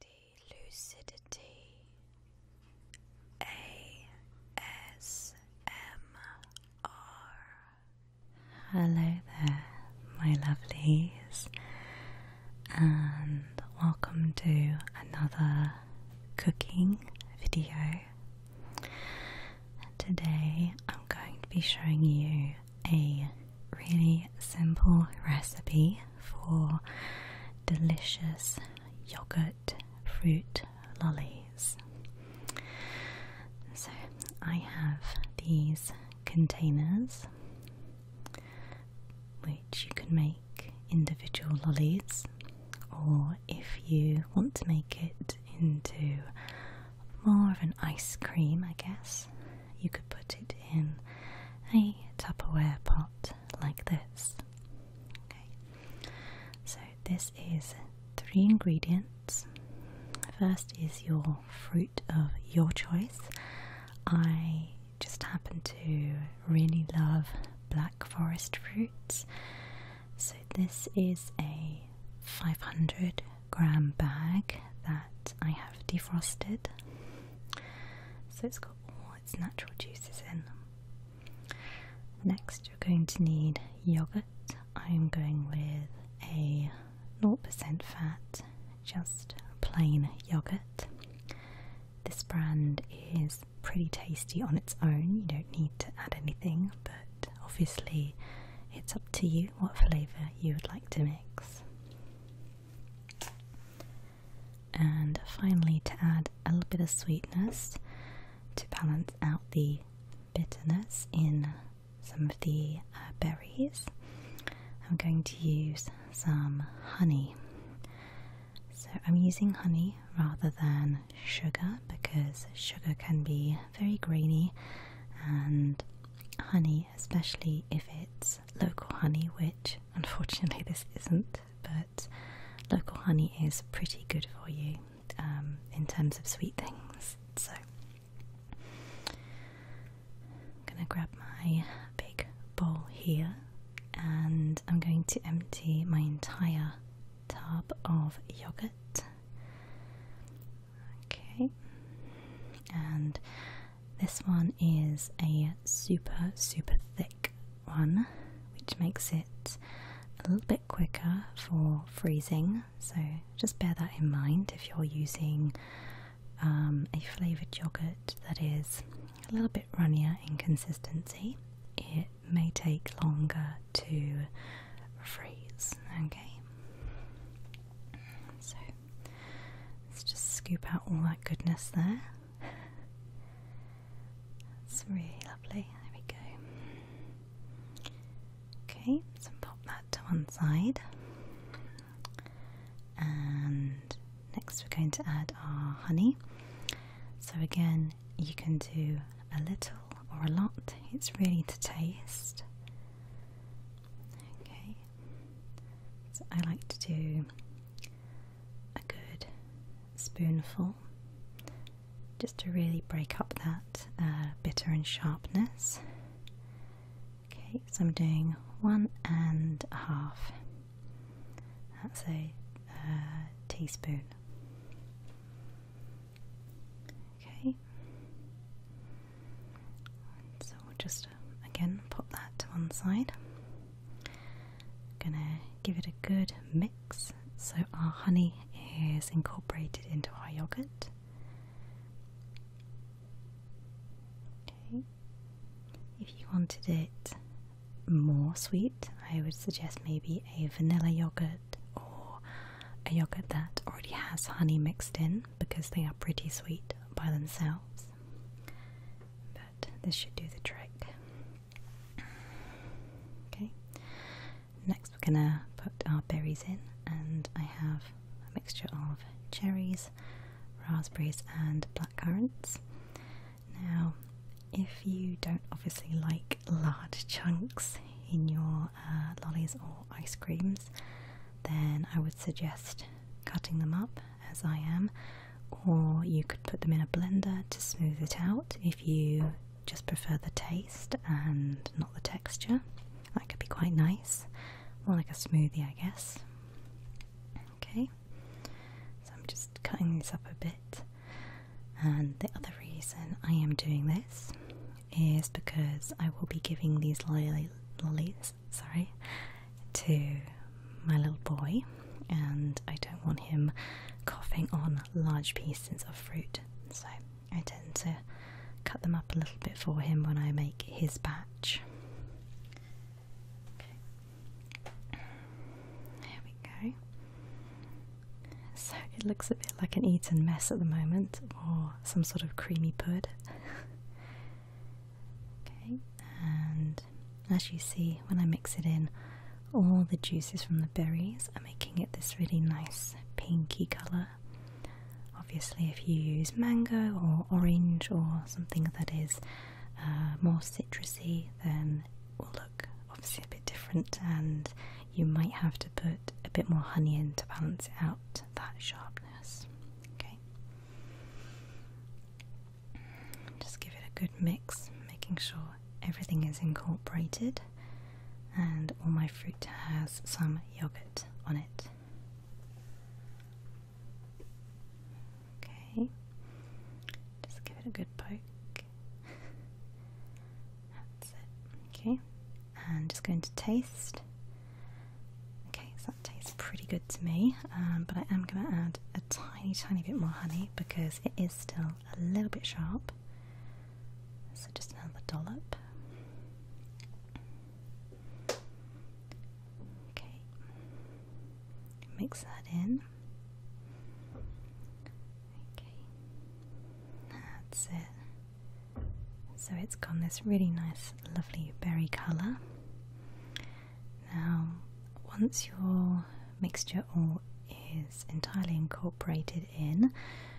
Lady Lucidity ASMR. Hello there, my lovelies, and welcome to another cooking video. Today I'm going to be showing you a really simple recipe for delicious yogurt fruit lollies. So I have these containers which you can make individual lollies or if you want to make it into more of an ice cream I guess you could put it in a Tupperware pot like this. Okay. So this is three ingredients. First is your fruit of your choice. I just happen to really love black forest fruits. So this is a 500 gram bag that I have defrosted. So it's got all its natural juices in. Next, you're going to need yogurt. I'm going with a 0% fat, just plain yogurt. This brand is pretty tasty on its own, you don't need to add anything, but obviously it's up to you what flavour you would like to mix. And finally, to add a little bit of sweetness to balance out the bitterness in some of the uh, berries, I'm going to use some honey. So, I'm using honey rather than sugar because sugar can be very grainy and honey, especially if it's local honey, which unfortunately this isn't, but local honey is pretty good for you um, in terms of sweet things. So, I'm gonna grab my big bowl here and I'm going to empty my entire tub of yogurt. Okay, and this one is a super, super thick one, which makes it a little bit quicker for freezing. So just bear that in mind if you're using um, a flavoured yogurt that is a little bit runnier in consistency. It may take longer to freeze. Okay, so let's just scoop out all that goodness there. It's really lovely. There we go. Okay, so pop that to one side. And next, we're going to add our honey. So, again, you can do a little or a lot, it's really to taste. Okay, I like to do a good spoonful just to really break up that uh, bitter and sharpness. Okay, so I'm doing one and a half. That's a uh, teaspoon. Okay. so we'll just uh, again put that to one side. Gonna give it a good mix so our honey is incorporated into our yogurt. Okay. If you wanted it more sweet, I would suggest maybe a vanilla yogurt or a yogurt that already has honey mixed in because they are pretty sweet by themselves. But this should do the trick. Okay, next we're gonna put our berries in, and I have a mixture of cherries, raspberries, and blackcurrants. Now, if you don't obviously like large chunks in your uh, lollies or ice creams, then I would suggest cutting them up as I am, or you could put them in a blender to smooth it out if you just prefer the taste and not the texture. That could be quite nice, more like a smoothie, I guess. Okay, so I'm just cutting this up a bit. And the other reason I am doing this is because I will be giving these lilies, sorry, to my little boy, and I don't want him coughing on large pieces of fruit, so I tend to cut them up a little bit for him when I make his batch. Okay. we go. So it looks a bit like an eaten mess at the moment, or some sort of creamy pud. okay, and as you see, when I mix it in, all the juices from the berries are making it this really nice pinky colour. Obviously, if you use mango or orange or something that is uh, more citrusy, then it will look obviously a bit different and you might have to put a bit more honey in to balance out that sharpness. Okay. Just give it a good mix, making sure everything is incorporated and all my fruit has some yogurt on it. Okay. Just give it a good poke. That's it. Okay, and just going to taste. Okay, so that tastes pretty good to me, um, but I am going to add a tiny, tiny bit more honey because it is still a little bit sharp. So just another dollop. Okay, mix that in. Okay, that's it. So it's got this really nice, lovely berry colour. Now, once your mixture all is entirely incorporated in,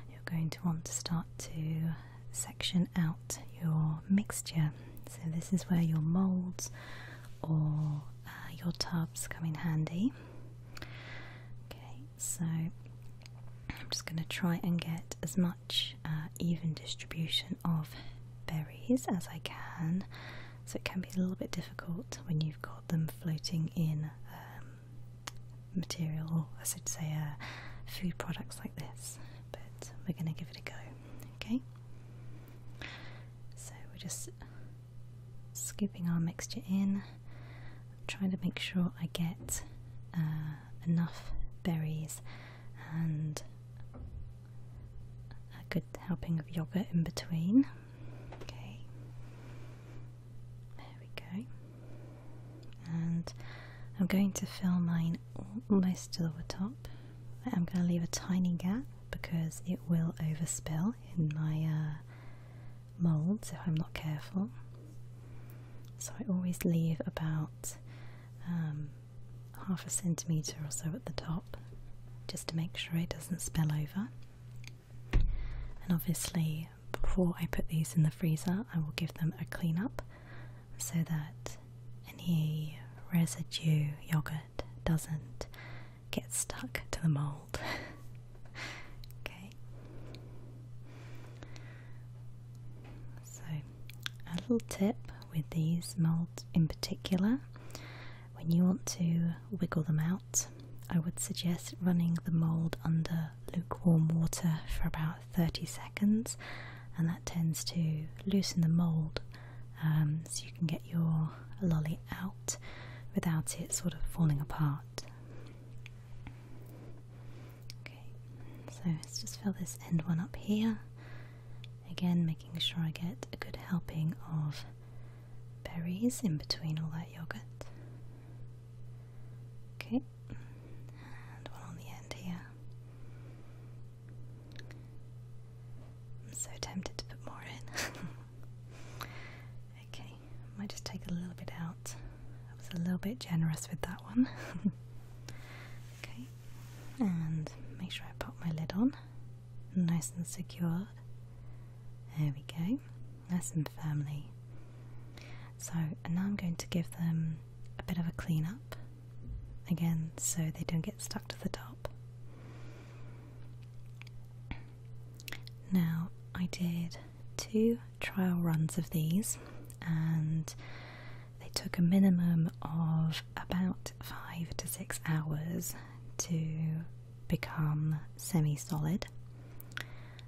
you're going to want to start to section out your mixture. So, this is where your moulds or uh, your tubs come in handy. Okay, so I'm just going to try and get as much uh, even distribution of berries as I can. So it can be a little bit difficult when you've got them floating in um, material, I should say, uh, food products like this. But we're going to give it a go. Okay, so we're just scooping our mixture in, trying to make sure I get uh, enough berries and a good helping of yogurt in between. Okay, there we go. And I'm going to fill mine almost to the top. I'm going to leave a tiny gap because it will overspill in my uh, molds if I'm not careful. So I always leave about um, half a centimetre or so at the top just to make sure it doesn't spill over. And obviously, before I put these in the freezer, I will give them a clean up so that any residue yogurt doesn't get stuck to the mold. okay. So, a little tip with these molds in particular when you want to wiggle them out, I would suggest running the mold under lukewarm water for about 30 seconds, and that tends to loosen the mold um, so you can get your lolly out without it sort of falling apart. Okay, so let's just fill this end one up here. Again, making sure I get a good helping of berries in between all that yogurt. Okay, and one on the end here. I'm so tempted to put more in. okay, I might just take a little bit out. I was a little bit generous with that one. okay, and make sure I pop my lid on. Nice and secure. There we go. Nice and firmly. So, and now I'm going to give them a bit of a clean up again so they don't get stuck to the top. Now, I did two trial runs of these, and they took a minimum of about five to six hours to become semi solid.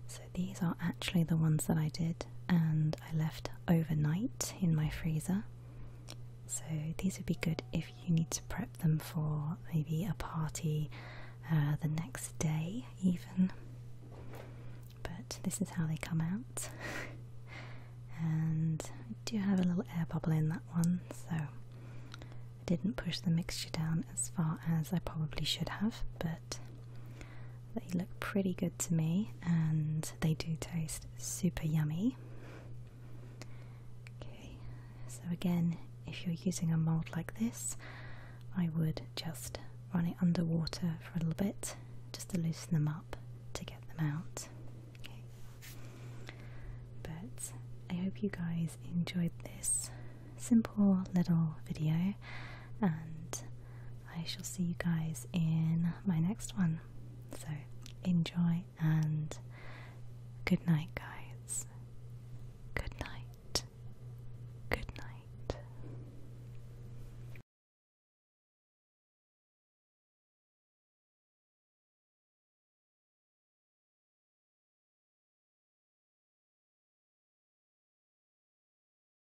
So, these are actually the ones that I did, and I left overnight in my freezer. So these would be good if you need to prep them for maybe a party uh, the next day, even. But this is how they come out. and I do have a little air bubble in that one, so I didn't push the mixture down as far as I probably should have, but they look pretty good to me and they do taste super yummy. Okay, so again, if you're using a mold like this, I would just run it underwater for a little bit just to loosen them up to get them out. But I hope you guys enjoyed this simple little video and I shall see you guys in my next one. So enjoy and good night, guys. Good night. Good night.